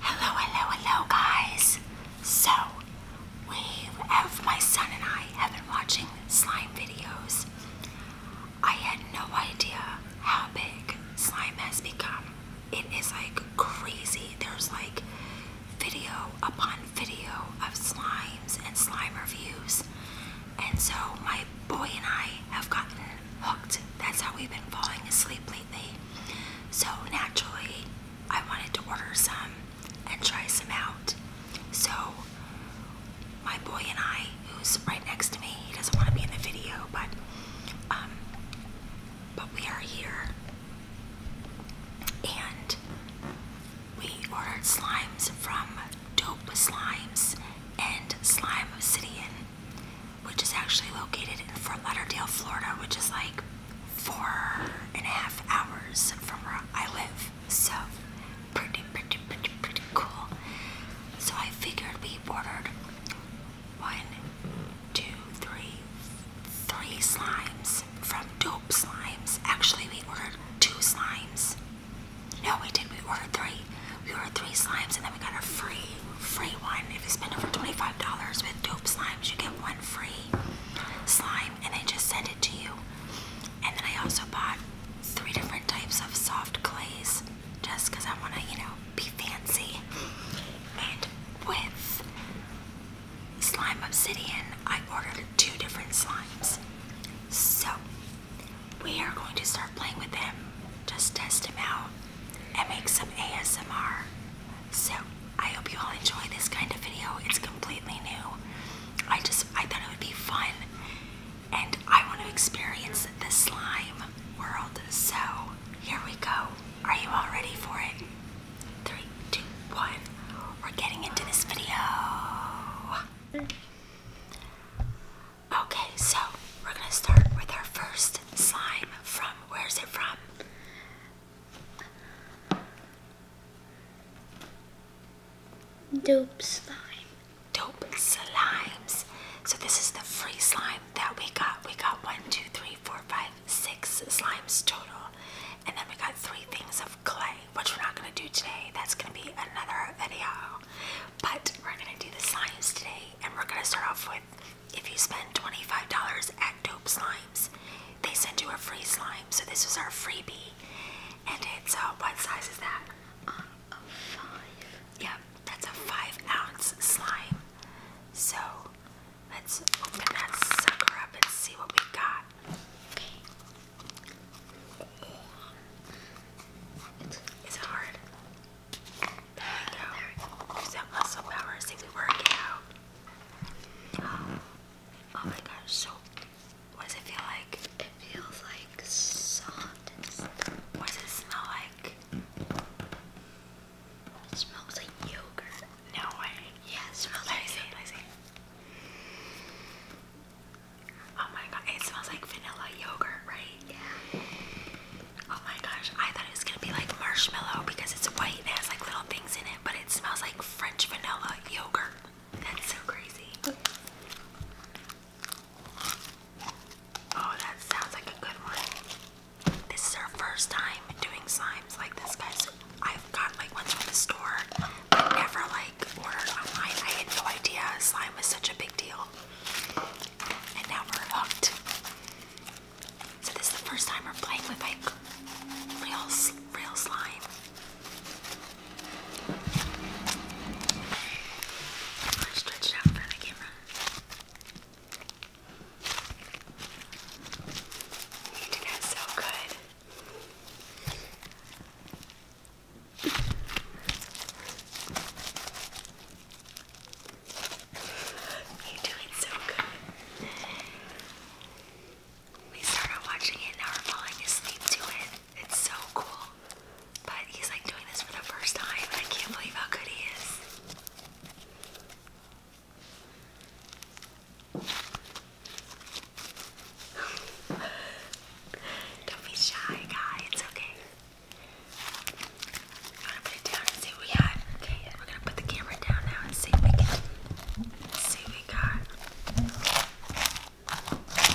Hello, hello, hello, guys. So, we have my son and I have been watching slime videos. I had no idea how big slime has become it is like crazy. There's like video upon video of slimes and slime reviews. And so my boy and I have gotten hooked. That's how we've been falling asleep lately. So naturally, I wanted to order some and try some out. So my boy and I, who's right next to me, he doesn't want to be in the video, but um, but we are here. And we ordered slimes from Dope Slimes and Slime Obsidian, which is actually located in Fort Lauderdale, Florida, which is like four and a half hours from where I live. So, pretty, pretty, pretty, pretty cool. So, I figured we ordered one two, three, three slimes from dope slimes. Actually, we ordered two slimes. No, we did. not We ordered three. We ordered three slimes, and then we got a free, free one. If you spend over twenty-five dollars with dope slimes, you get one free slime, and they just send it to you. And then I also bought three different types of soft clays, just because I want to, you know, be fancy. And with Slime Obsidian, I ordered two different slimes. So we are going to start playing with them, just test them out, and make some ASMR. So I hope you all enjoy this kind of video. It's completely new. I just I thought it would be fun and I want to experience the slime world. So here we go are you all ready for it? Three, two, one. We're getting into this video. Okay, so we're gonna start with our first slime from where's it from? Dope slime. Dope slimes. So this is the free slime that we got. We got one, two, three, four, five, six slimes total. And then we got three things of clay, which we're not going to do today. That's going to be another video. But we're going to do the slimes today. And we're going to start off with if you spend $25 at Dope Slimes, they send you a free slime. So this was our freebie. And it's, a uh, what size is that? Uh, a five. Yep, that's a five ounce slime. So Let's open that sucker up and see what we got. Okay. Is it hard? There we go. Use that muscle power. See we work out. Oh, my gosh. So, what does it feel like? It feels like soft. What does it smell like? It smells like yogurt. No way. Yeah, it smells like Oh my god, it smells like vanilla yogurt, right? Yeah. Oh my gosh, I thought it was gonna be like marshmallow because it's white and it has like little things in it, but it smells like French vanilla yogurt. That's so crazy. Oh, that sounds like a good one. This is our first time doing slimes like this, guys. I've got like ones from the store, never like ordered online. I had no idea slime was such a big deal. And now we're hooked. So this is the first time we're playing with like real, real slime. stretch it out for the camera. You did that so good. You're doing so good. We started watching it and now we're falling asleep to it. It's so cool. But he's like doing this for the first time I can't believe how good he is. Don't be shy, guy. It's okay. I'm gonna put it down and see what we have. Okay, we're gonna put the camera down now and see what we can see what we got. Okay.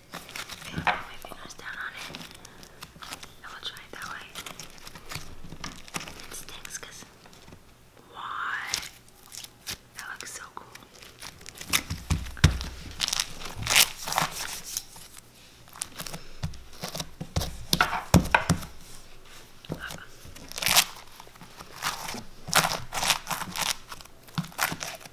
it and put my fingers down on it. I will try it that way. It stinks because. Why? That looks so cool. Uh -oh.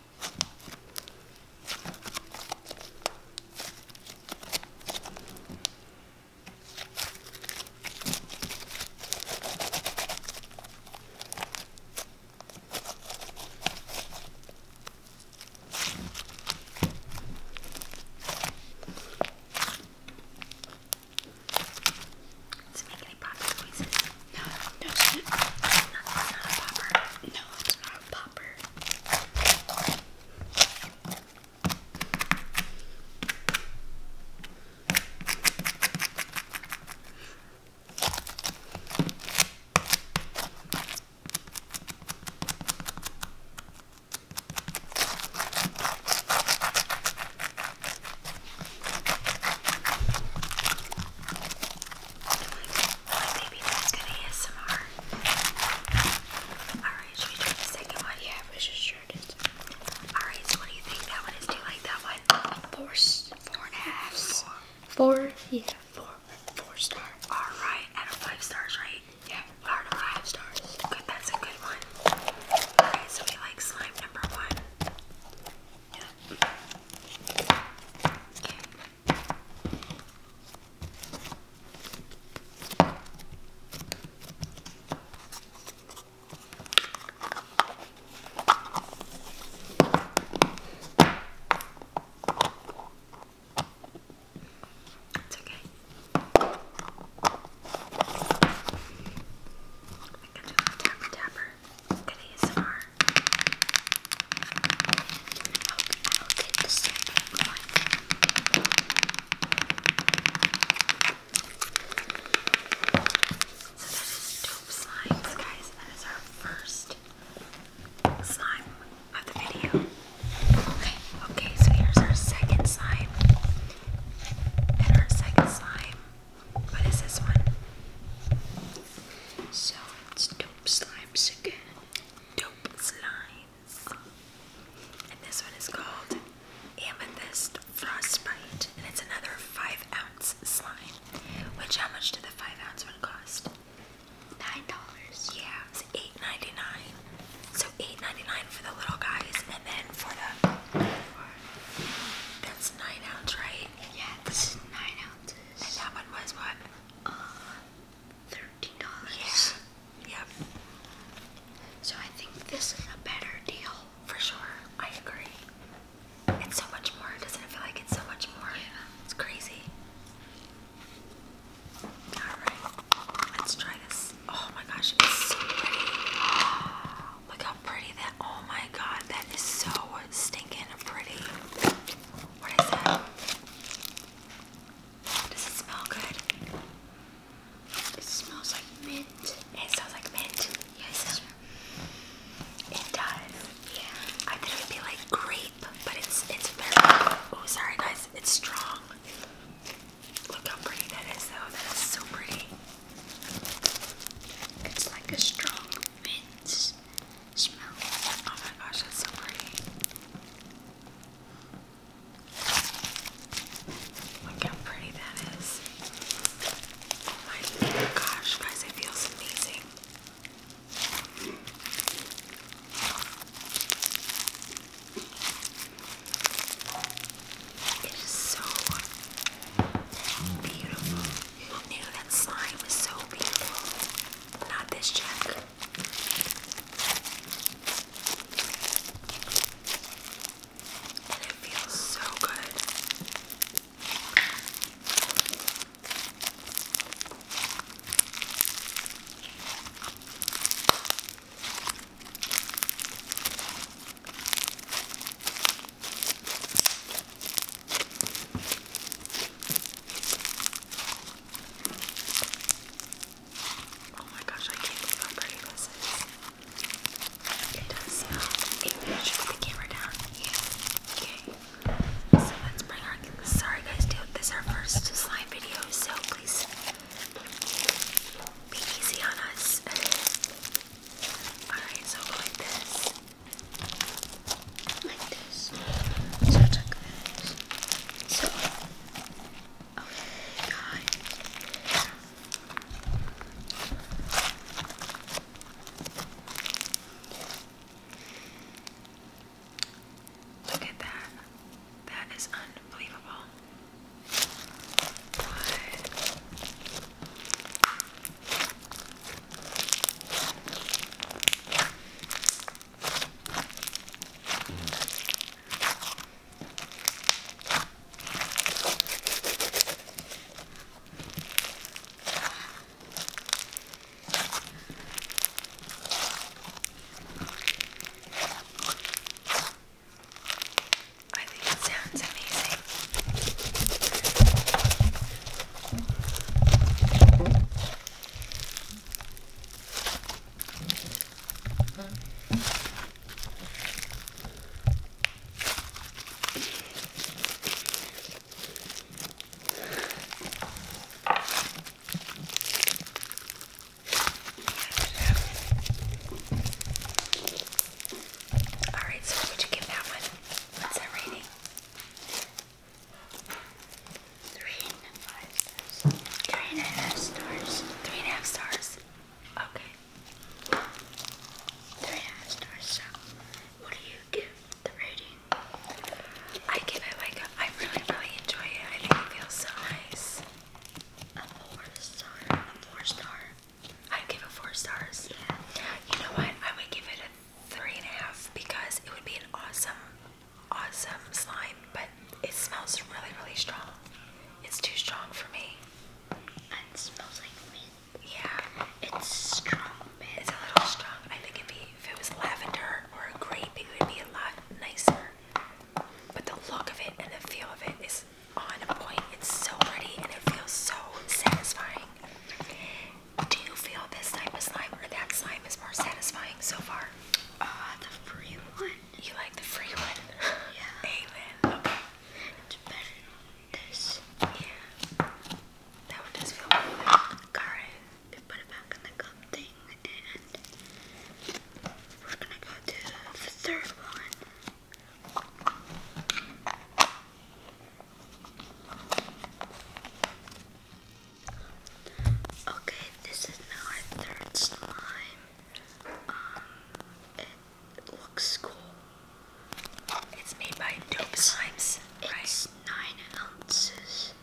Does it make any popper noises? No, no, it's not, it's not, it's not a popper. No, no, it's not a popper. Oh my my baby good ASMR. Alright, should we try the second one? Yeah, we should sure did. Alright, so what do you think that one is? Do you like that one? Four, four and a half. yeah. Four, four stars. Alright, out of five stars, right? Yeah. Out of five stars. Good, that's a good one. Alright, so we like slime number one. Yeah. It's okay. I can do a tapper tapper. Good ASMR. I'll, I'll get the second one. So that is dope slimes, guys. That is our first slime of the video. Okay, okay, so here's our second slime. And our second slime. What is this one? So it's dope slimes again dope slimes. And this one is called Amethyst Frostbite. And it's another 5 ounce slime. Which, how much did the 5 ounce one cost? $9. Yeah, it was $8.99. So $8.99 for the little guys. And then for the. That's 9 ounce, right? Yeah, it's 9 ounces. And that one was what? Uh, thirty dollars. Yep. So I think this is a better deal. For sure. I agree. It's so much more. Doesn't it feel like it's so much more? Yeah. It's crazy. Alright. Let's try this. Oh my gosh, it's so pretty. look how pretty that oh my god, that is so stinking pretty. What is that? Does it smell good? It smells like mint. It smells like mint. Yes. It does. Yeah. I thought it would be like grape, but it's it's very oh sorry guys, it's strong. Look how pretty that is though. That is so pretty. It's like a strong mint smell. Oh my gosh, that's so pretty. Look how pretty that is. Oh my gosh, guys, it feels amazing. It is so beautiful. Who knew that slime was so beautiful? Not this check. And it feels so good. Oh my gosh, I can't believe how pretty this is. does smell. It should put the camera down. Yeah. Okay. So let's bring our. Sorry guys, This is our first slime video, so please be easy on us. Alright, so like this like this. So check So, okay, guys. Look at that. That is unbelievable. What? I think it sounds amazing. All right, so what would you give that one? What's that rating? Three and five stars. Three and a half stars. Three and a half stars. Okay. Three and a half stars. So, what do you give the rating? I give it like a, I really, really enjoy it. I think it feels so nice. A four star. A four star. I give it four stars. Yeah. You know what? I would give it a three and a half because it would be an awesome awesome slime, but it smells really, really strong. It's too strong for me. And it smells like mint. Yeah. It's strong mint. It's a little strong. I think it'd be, if it was lavender or grape, it would be a lot nicer. But the look of it and the feel of it is on point. It's so pretty and it feels so satisfying. Do you feel this time is slime that slime is more satisfying so far? Uh, the free one. You like the free one? Yeah. Amen. It's better than this. Yeah. That one does feel really Alright. We put it back in the cup thing and we're gonna go to the third one. Okay, this is my third slime. Um, it looks cool. It's made by Dope Slimes. It's nine ounces.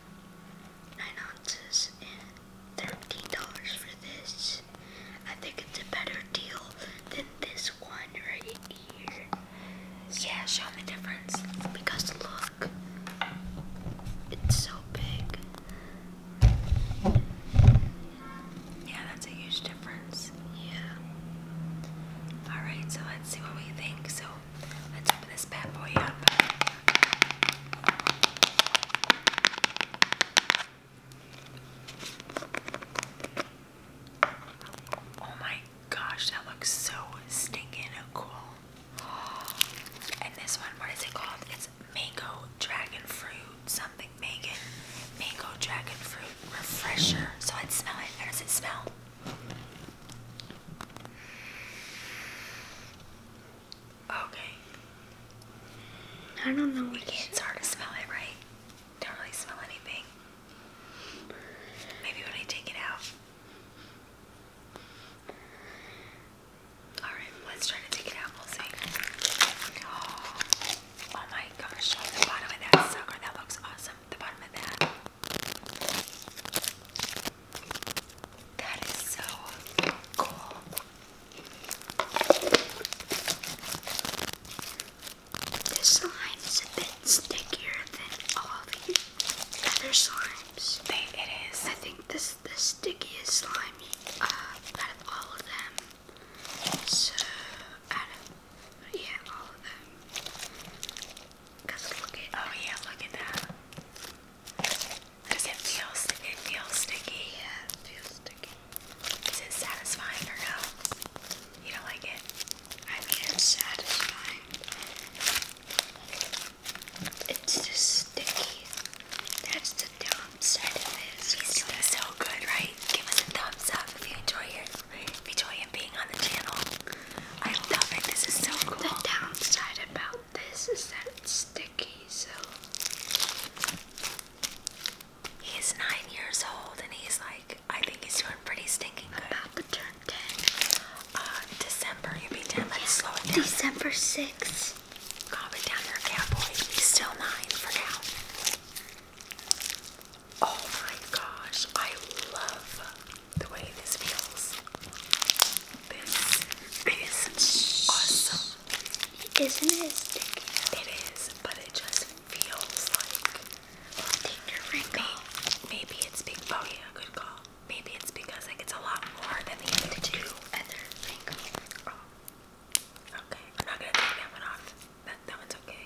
Nine ounces thirteen dollars for this. I think it's a better deal than this one right here. Yeah, show them the difference. Because look, it's so big. Yeah, that's a huge difference. Yeah. Alright, so let's see what we think. So let's open this bad boy up. Oh my gosh, that looks so stinking cool. And this one, what is it called? It's mango dragon fruit something. Megan, mango dragon fruit refresher. So let's smell it. How does it smell? Okay. I don't know. It's hard to smell it, right? Don't really smell anything. Maybe when I take it out. Alright, let's try to take it out. Oh, oh, my gosh, the bottom of that sucker. That looks awesome. The bottom of that. That is so cool. This line is a bit stickier than all the other slime. I think this the stickiest slime uh, out of all of them. So, yeah, all of them. Cause look at, oh yeah, look at that. Does it feel, it feels sticky? Yeah, feels sticky. Is it satisfying or no? You don't like it? I mean, it's satisfying. It's just sticky. That's the downside of it. He's doing so good, right? Give us a thumbs up if you enjoy it. If you enjoy him being on the channel. I love it. This is so cool. The downside about this is that it's sticky, so he's nine years old and he's like I think he's doing pretty stinking good. Uh, December, you'll be Let's slow it down. December 6th. Calm it down there, cowboy. He's still 9 for now. Oh my gosh, I love the way this feels. This is awesome. Isn't it It is, but it just feels like. Maybe it's Big Boya. Oh good call maybe it's because like it's a lot more than the other two other okay I'm not gonna take that one off that, that one's okay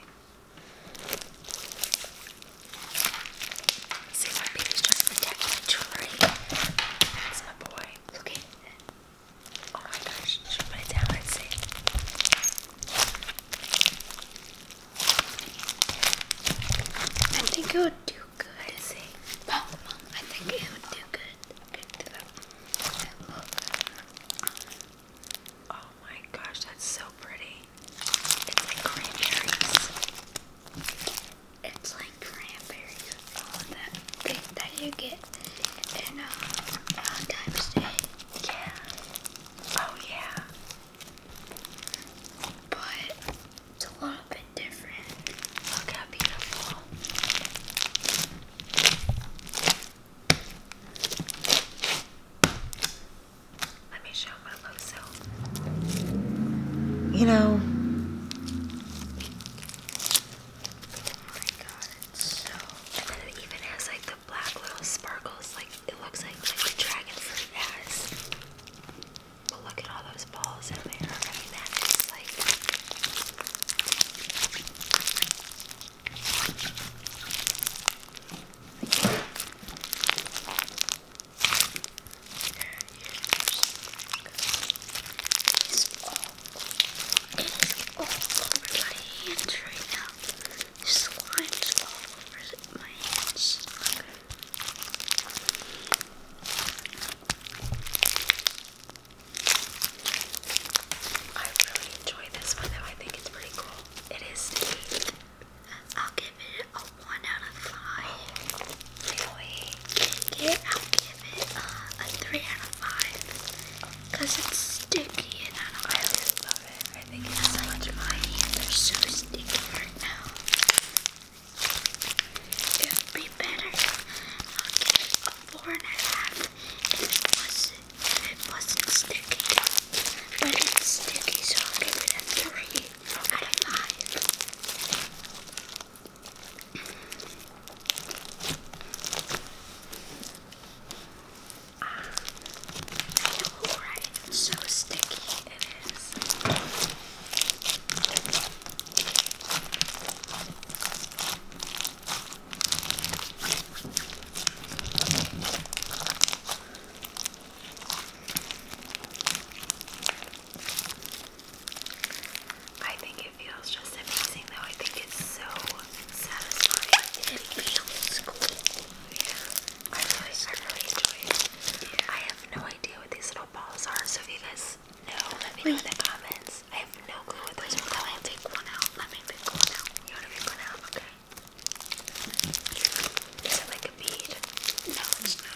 see my baby's trying to jewelry that's my boy look oh my gosh should I put it I think it would do good I think it would do good. to them. Oh my gosh, that's so pretty. It's like cranberries. It's like cranberries. Oh, that thing that you get in um, uh, uh Yeah. Oh yeah but it's a little bit different. Look how beautiful. Let me show my low self. You know, oh my god, it's so. And then it even has like the black little sparkles, like it looks like like the dragon fruit has. But look at all those balls in there. I mean, that is like. It's all, it's all over my hands right now. The slime's all over my hands. I really enjoy this one though. I think it's pretty cool. It is sticky. I'll give it a 1 out of 5. Really? I'll give it uh, a 3 out of 5. Because it's sticky and I don't I really it. I think it's so much They're so sticky right now. It would be better. I'll give it a four and a half if it was if it was sticky. But it's sticky, so I'll give it a three out of five. Alright, ah, so sticky it is. I think it feels just amazing though. I think it's so satisfying. It feels cool. I really, I really it. I have no idea what these little balls are. So if you guys know, let me know in the comments. I have no clue what those Wait, are. Let me take one out. Let me pick one out. You want to pick one out? Okay. Is it like a bead? No, it's not Okay.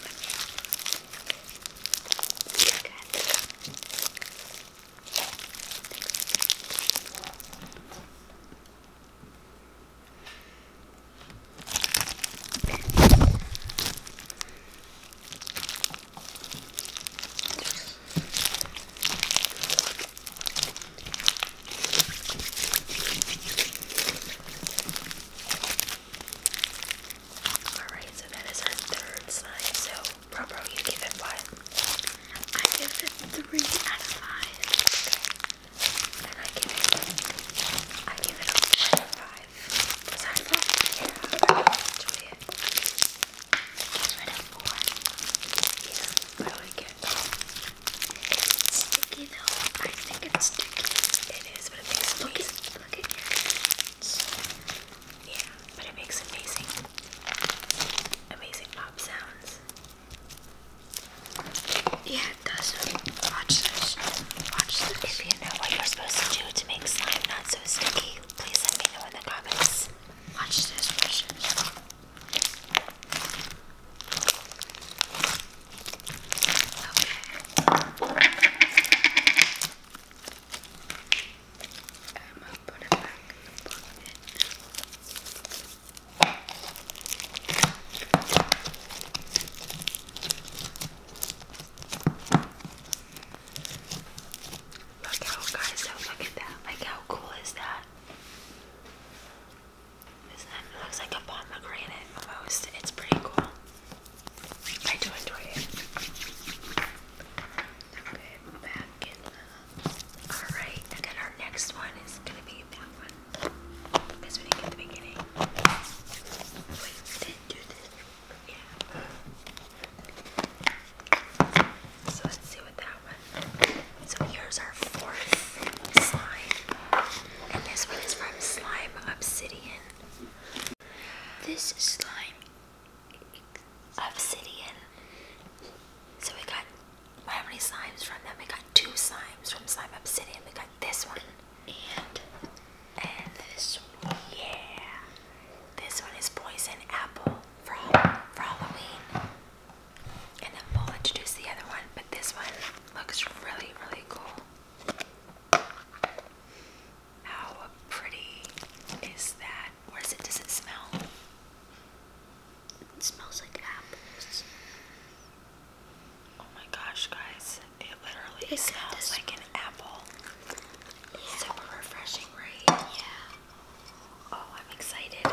Alright, so that is our third sign. So, Bro, you give it what? I give it three out of five. Okay. And I give it, I give it five. Yeah, I actually it. It's sticky though. I think it's sticky. It is, but it makes it look at your Yeah, but it makes amazing amazing pop sounds. Yeah, it does. Watch this. Watch this. If you know what you're supposed to do to make slime not so sticky, please let me know in the comments. Watch this. Okay. I'm um, gonna put it back in the bucket. Look how guys, look at that. Like how cool is that? Isn't that looks like a pomegranate almost. It's pretty cool. I do enjoy it. Okay, back in the Alright, then our next one is gonna be that one. Because we didn't get the beginning. So let's see what that one. So here's our fourth slime. And this one is from Slime Obsidian. This is slime obsidian. So we got how many slimes from them? We got two slimes from Slime Obsidian. We got this one and and this one, yeah, this one is poison apple for for Halloween. And then we'll introduce the other one, but this one looks really really cool. How pretty is that? What is it? Does it smell? It smells like apples. Oh my gosh, guys, it literally smells like an apple. Super refreshing, right? Yeah. Oh, I'm excited.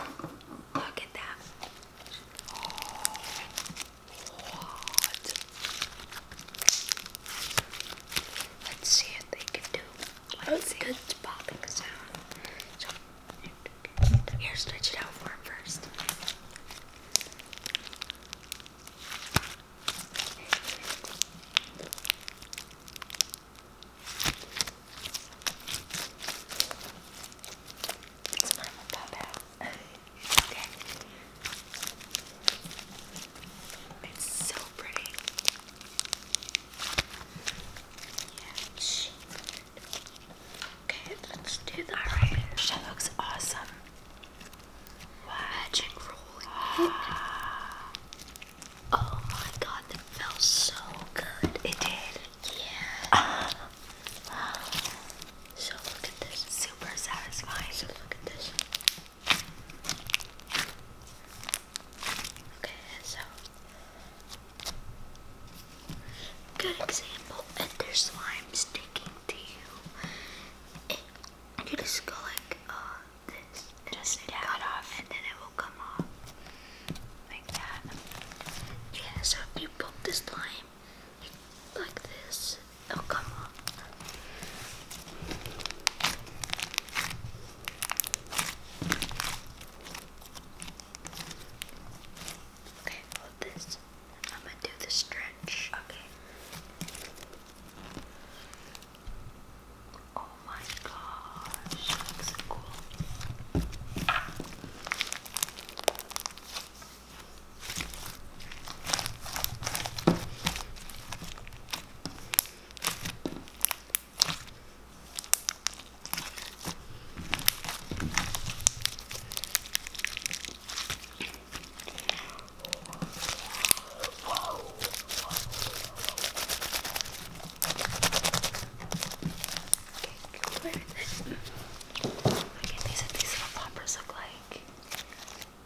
Look at that. Oh, what? Let's see what they can do. let oh, see. Good popping sound. here, stretch it out for him first. It's mom and papa. okay. It's so pretty. Yeah. Okay, let's do that right. Oh that looks awesome. Magic rolling Oh my god, that felt so good. It did. Yeah. so look at this. Super satisfying. So look at this. Okay, so good example. If there's slime sticking to you, you just go like uh, this. And just then cut off. And then it will come off. Like that. Yeah, so if you poke this lime like this, it'll come off. Okay, this. I'm gonna do the stretch much. Okay. Oh my gosh, looks cool. Okay, okay, these are these little poppers look like.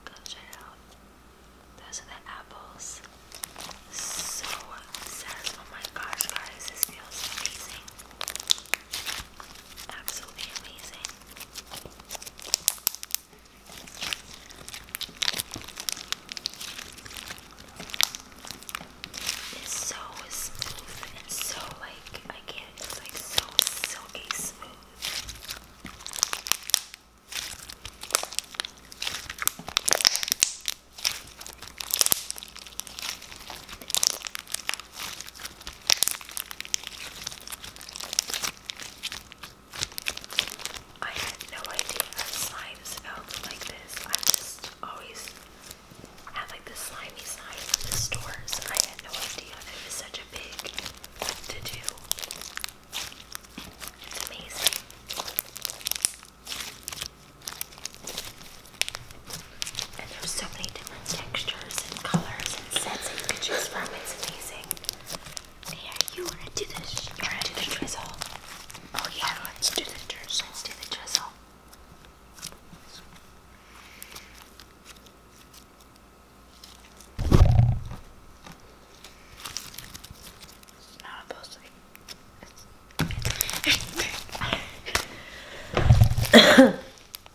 Go check it out. Those are the apples. So sad. Oh my gosh, guys, this feels amazing. Absolutely amazing. It's so smooth and so like I can't. It's like so silky smooth. I had no idea slimes felt like this. I just always had like the slimy slime from the stores. I had no idea that it was such a big to do. It's amazing. And there's so many different textures and colors and sets that you from. It's amazing amazing. Here, you wanna do this? do the drizzle? Oh yeah, let's do the drizzle. Let's do the drizzle. not supposed to It's, it's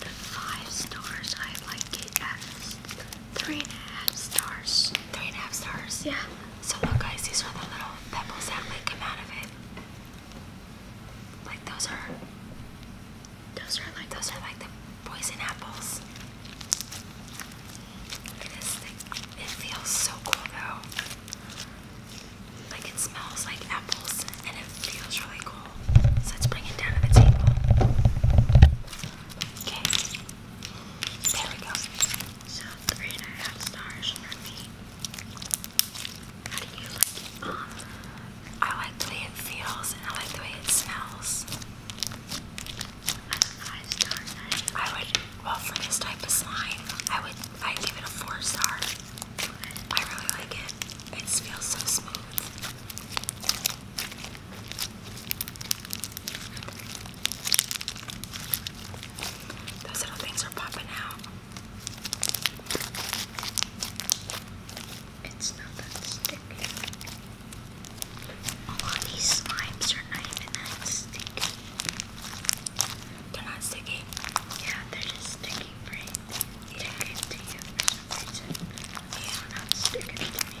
The five stars, I like it at three and a half stars. Three and a half stars? Yeah. So look guys, these are the little pebbles that might come out of it. Like those are those are like those are like the poison apples. It feels so cool though. Like it smells like apples and it feels really cool. let's bring it down to the table. Okay. There we go. So three and a half stars for me. How do you like it? Um, I like the way it feels and I like the way it smells. I would, well, for this type of slime, I would, i give it a four star. I really like it. It feels so smooth. Those little things are popping out. It's not that sticky. A lot of these slimes are not even that sticky. They're not sticky? Yeah, they're just sticky free. You it to you for some reason. not sticking to me.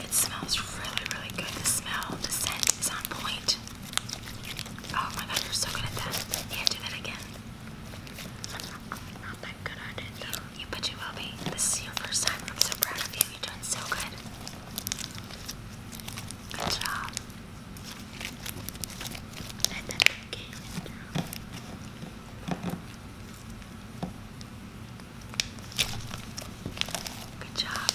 It smells really, really good. The smell, the scent is on point. Oh my god, you're so good at that. Yeah, do that again not that good at it You but you will be. This is your first time. I'm so proud of you. You're doing so good. Good job. Good job.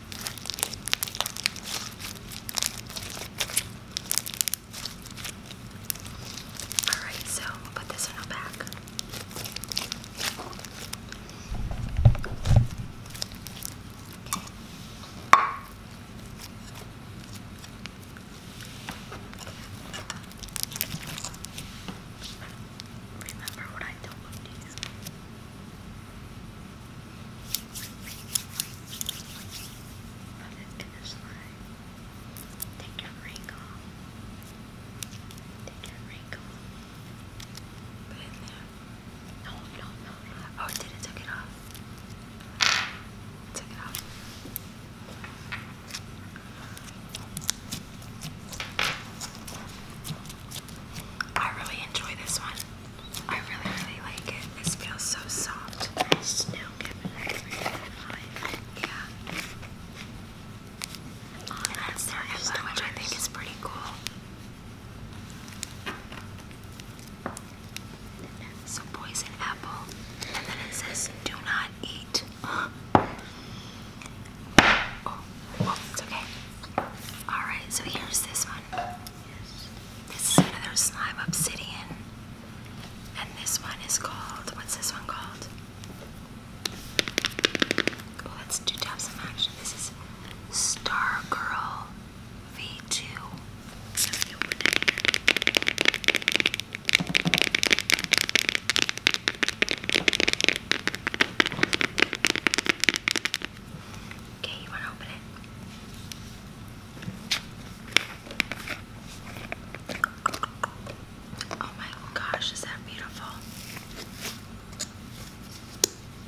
All right, so we'll put this one back. Okay. Remember what I told you. Put it to slide. Take your ring off. Take your ring off. Put it there. No, no, no, no. Oh, did it took it off? It it off. I really enjoy this one. I really, really like it. This feels so soft. Yeah. Oh, and that's which I think is pretty cool. So poison apple. And then it says do not eat. Alright, so here's this one. This is another slime obsidian. And this one is called, what's this one called? Oh, that's two types of This is Star Girl V2. Okay, you want to open it? Oh my gosh, is that beautiful?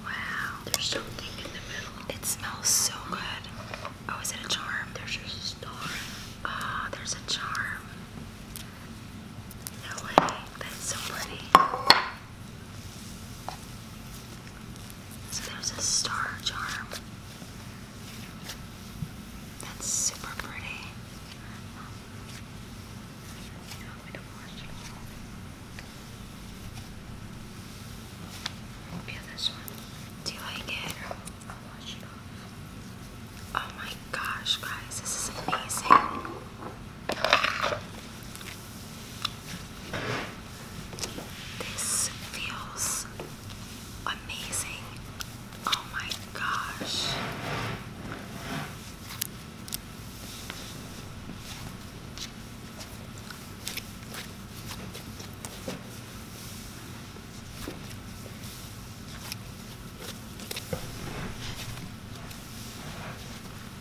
Wow. There's something in the middle. It smells so good. Oh, is it a charm? There's just a star. Ah, oh, there's a charm. No way. That's so pretty. So there's a star charm. That's super pretty. You me to wash it this one. Do you like it? Oh my gosh, guys, this is amazing. This feels amazing. Oh my gosh.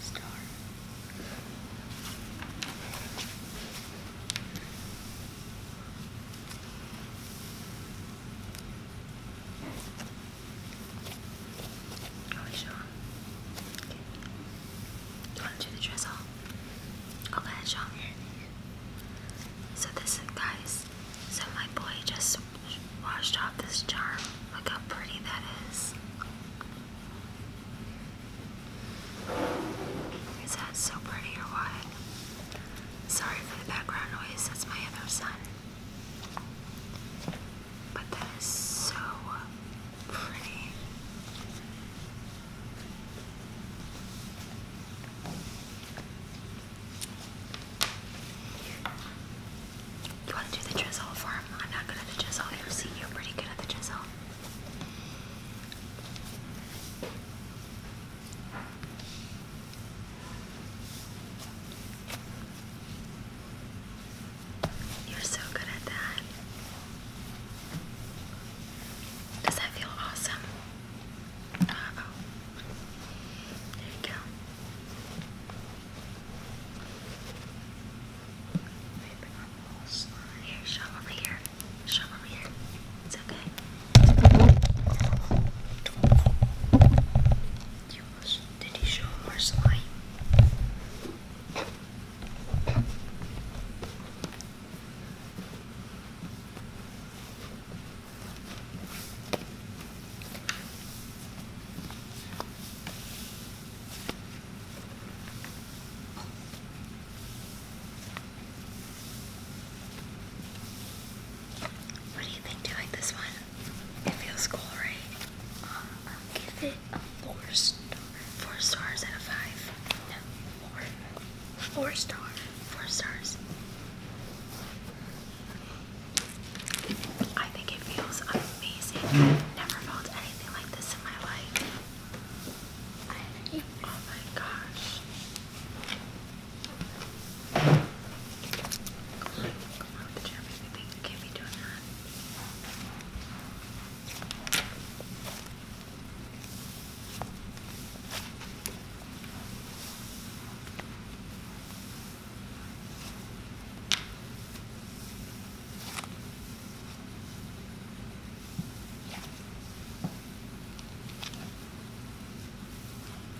Star. Are oh, we sure? Okay. You want to do the dress off? Okay, sure. So this guys, so my boy just washed off this charm. Look how pretty that is. Is that so pretty or what? Sorry for the background noise, that's my other son. But that is so pretty. You want to do the chisel for I'm not good at the chisel. You see, you're pretty good at the chisel. You're so good at that. Does that feel awesome? Uh oh. There you go. Here, shove over here. Shove over here. It's okay. Did he show more slime? What do you think? Do you like this one? It feels cool, right? Um, I'll give it a four star. Four stars out of five. No, four. Four star. Four stars. I think it feels amazing. Never felt anything like this in my life. oh my gosh. Come out of the gym, baby. You can't be doing that.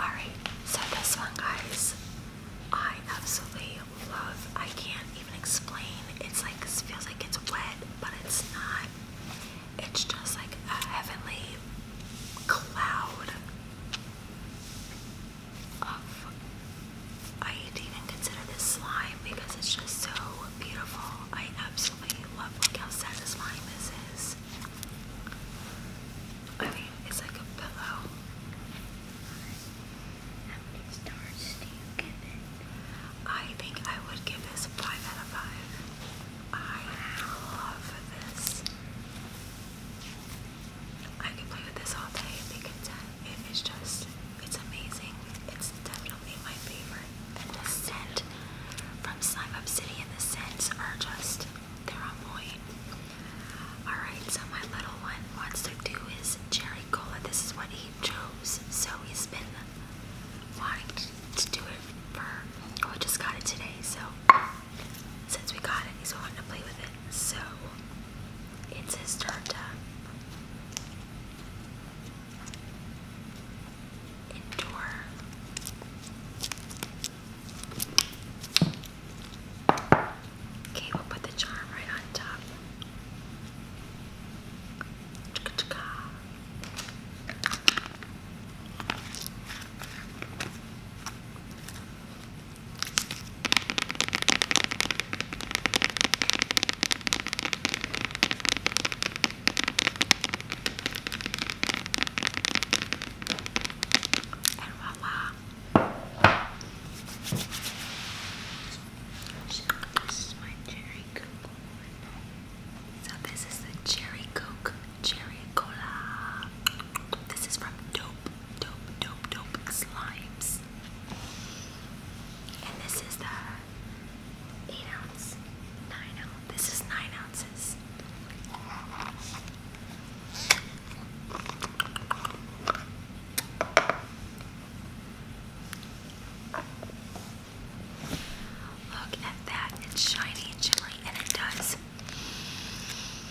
Alright, so this one, guys, I absolutely love. I can't even explain. It's like, it feels like it's wet, but it's not. It's just like a heavenly cloud of. I'd even consider this slime because it's just so beautiful. I absolutely love. Look how satisfying this is. I think it's like a pillow. How many stars do you give it? I think I would give this 5 out of 5. I love this. I could play with this all day and be It is just, it's amazing. It's definitely my favorite. And the scent from Slime Obsidian. The scents are just, they're on point. Alright, so my little one wants to do is cherry cola. This is what he chose. So he's been wanting to do it for, oh, we just got it today. So since we got it, he's wanting to play with it. So it's his turn to endure. Okay, we'll put the charm right on top. And voila. So this is the cherry coke, cherry cola. This is from Dope, Dope, Dope, Dope Slimes. And this is the 8 ounce, 9 this is nine ounces. Look at that. It's shiny and chilly, and it does.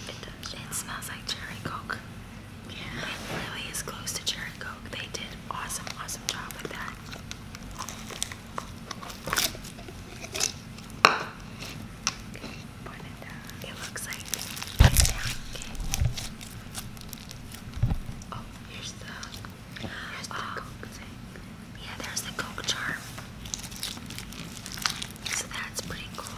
It does. It smells like cherry coke. Yeah. It really is close to cherry coke. They did awesome, awesome job with that it looks like it's down. Oh, here's the here's the um, coke thing. Yeah, there's the coke charm. So that's pretty cool.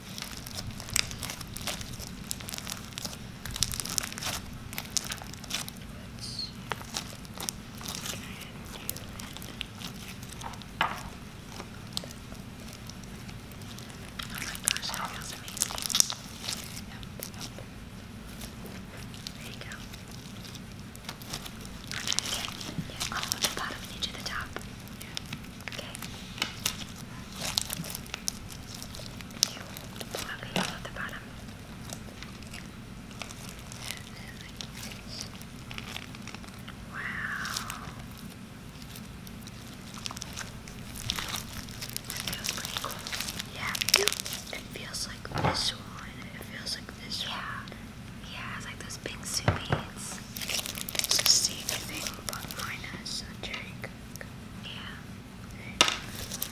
gosh, that feels amazing. Yep, yep. There you go. I'll try it again. Yeah. Oh, the bottom, you to the top. Yeah. Okay. Wow. Yeah, it feels like this one. It feels like this yeah. Yeah, like those big soup beads. It's but minus a drink. Yeah.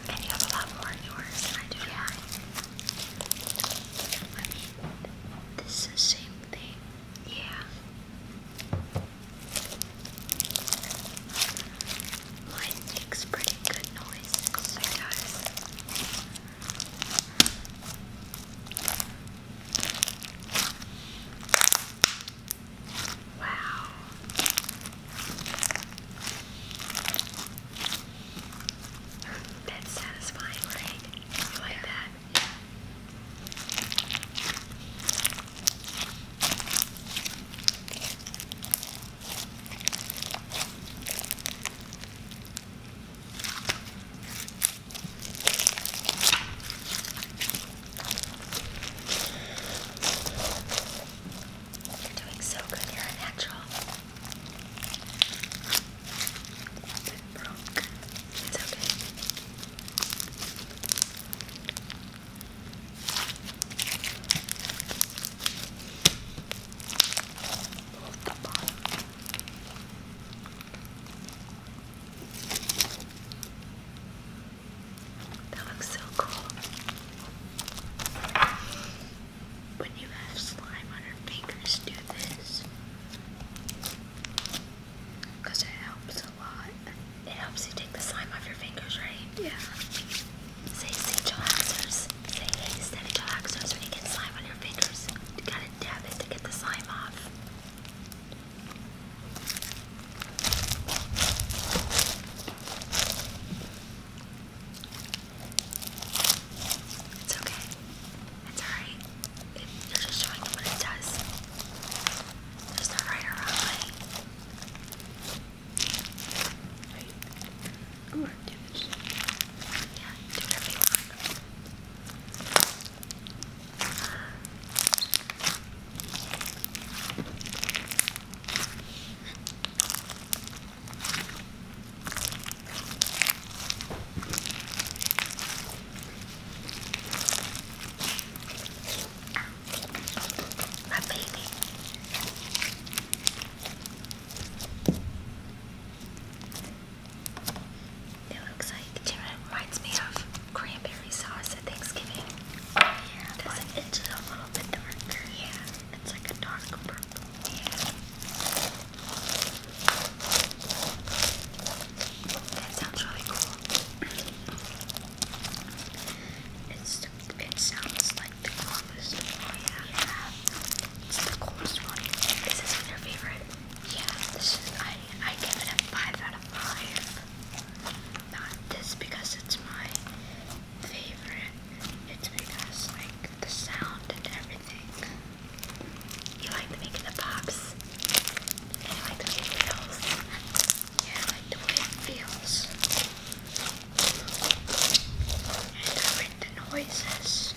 And you have a lot more in yours than I do yeah. I mean, this is the same thing. Yeah. Mine makes pretty good noises. It Wow. That's satisfying, right? You like that? You're doing so good. You're a natural. It broke. It's okay. Hold the bottom. Good. That looks so cool. When you have slime on your fingers, do this. Because it helps a lot. It helps you take the slime off your fingers, right? Yeah. Say, say chillaxers. Say, hey, steady chillaxers when you get slime on your fingers. You gotta dab it to get the slime off. It's okay. It's alright. It, you're just showing them what it does. There's no right or wrong way. Right. Ooh, I'm damaged. Yeah, do whatever you want. My baby. It looks like it reminds me of cranberry sauce. Thanksgiving. Yeah. does it? It's a little bit darker. Yeah. It's like a dark purple. Yeah. That sounds really cool. It's it sounds like the coolest Yeah. It's the coolest one. Is this your favorite? Yeah. This is I I give it a five out of five not this because it's my favorite, it's because like the sound and everything. You like the making the pops, and like the way it feels. Yeah, I like the way it feels. And I like the noises.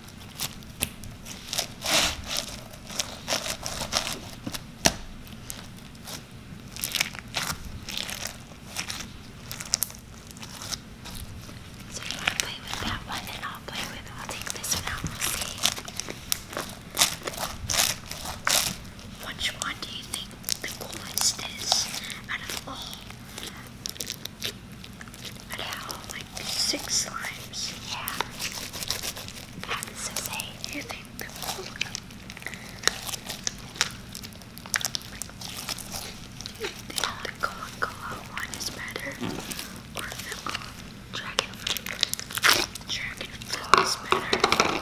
So you want to play with that one and I'll play with I'll take this one out see. Which one do you think the coolest is out of all? Out of all six slimes. Yeah. so safe. You think the cool the Coca Cola one is better? Or the um, dragon fruit? Dragon fruit is better.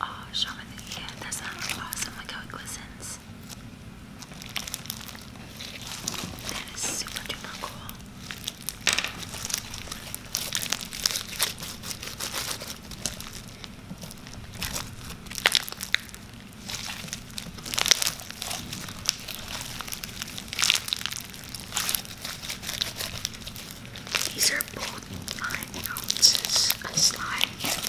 Oh, Shaman, yeah, that sounds awesome. Look how it glistens. That is super duper cool. These are both nine ounces of slime, and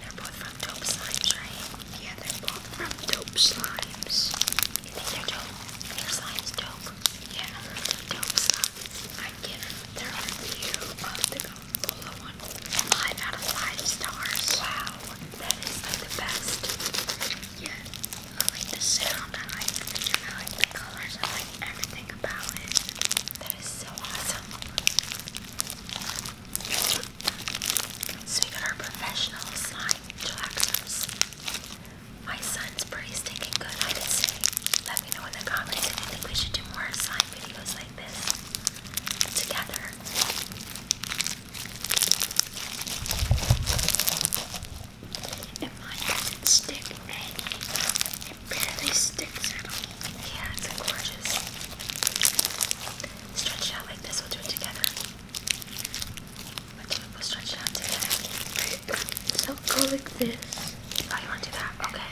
they're both from Dope Slimes, right? Yeah, they're both from Dope Slimes. You think they're dope? Your slime's dope. Yeah, dope slime. I give their review of the Gombola one 5 out of 5 stars. Wow, that is like the best. Yeah, I like the sound, I like the I like the colors, I like everything about it. That is so awesome. So we got our professional slime relaxers. My son's it's pretty stinking good, Let me know in the comments if you think we should do more side videos like this together. It barely sticks Yeah, it's gorgeous. Stretch out like this, we'll do it together. We'll do it, we'll stretch it out together. So go like this. Oh, you want to do that? Okay.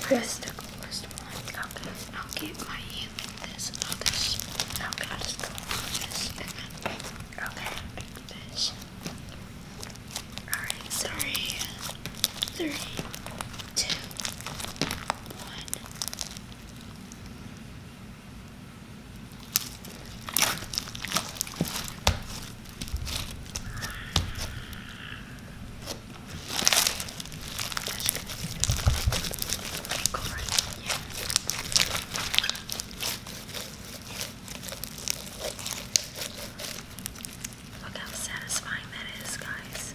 Press the first one. Okay. I'll keep my hand like this. I'll just, okay, I'll just go like this. And then, okay, like this. Alright, three, three, two, one. Go right yeah. Look how satisfying that is, guys.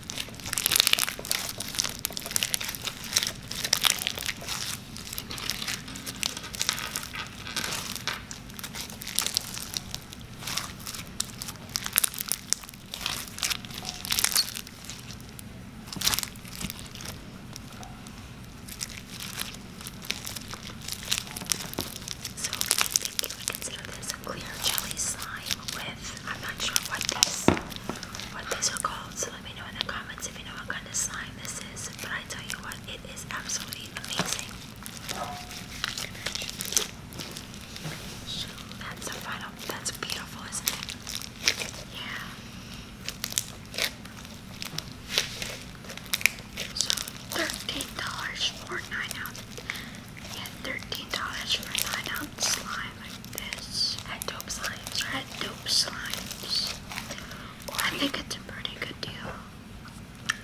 So I think you would consider this a clear jelly slime with I'm not sure what these what these are called, so let me know in the comments if you know what kind of slime this is. But I tell you what, it is absolutely amazing. So that's the final. That's beautiful, isn't it? Yeah. So $13 for 9 ounces. Yeah, $13 for 9 ounces slime like this. dope slimes or dope slimes. I think it's a pretty good deal.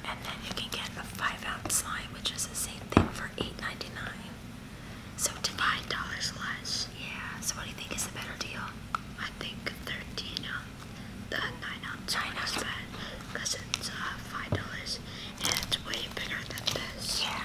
And then you can get a five ounce slime, which is the same thing for 8 So five dollars less. Yeah. So what do you think is the better deal? I think thirteen ounce, uh, the nine ounce nine one ounce. because it's uh, five dollars and it's way bigger than this. Yeah.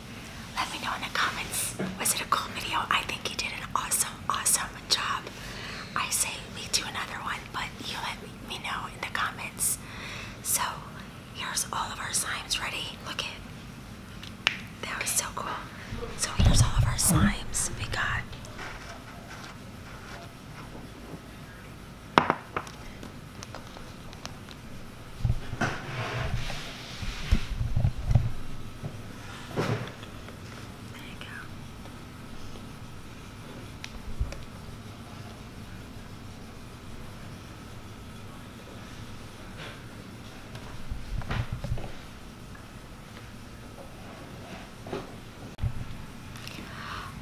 Let me know in the comments. Was it a cool video? I think you did an awesome, awesome job. I say we do another one, but you let me know in the comments. So here's all of our slimes ready. Look it. That was so cool. So here's all of our slimes we got. There you go.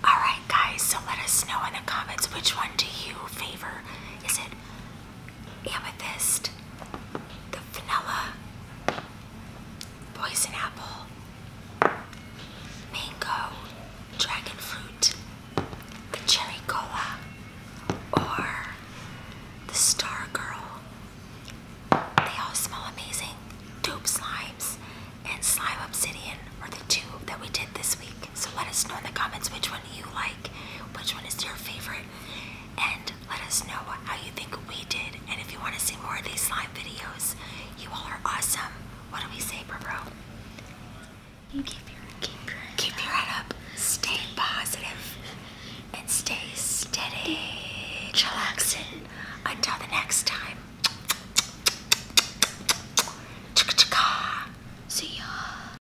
Alright guys, so let us know in the comments which one do you favor? Is it amethyst, the vanilla, poison apple, mango, dragon fruit, the cherry cola, or the star girl. They all smell amazing. Tube slimes and slime obsidian are the two that we did this week. So let us know in the comments which one you like, which one is your favorite, and let us know how you think we did. And if you want to see more of these slime videos, you all are awesome. What do we say, bro? bro? keep your keep your head keep up. your head up. Stay positive and stay steady. Chillaxin. Until the next time. See ya.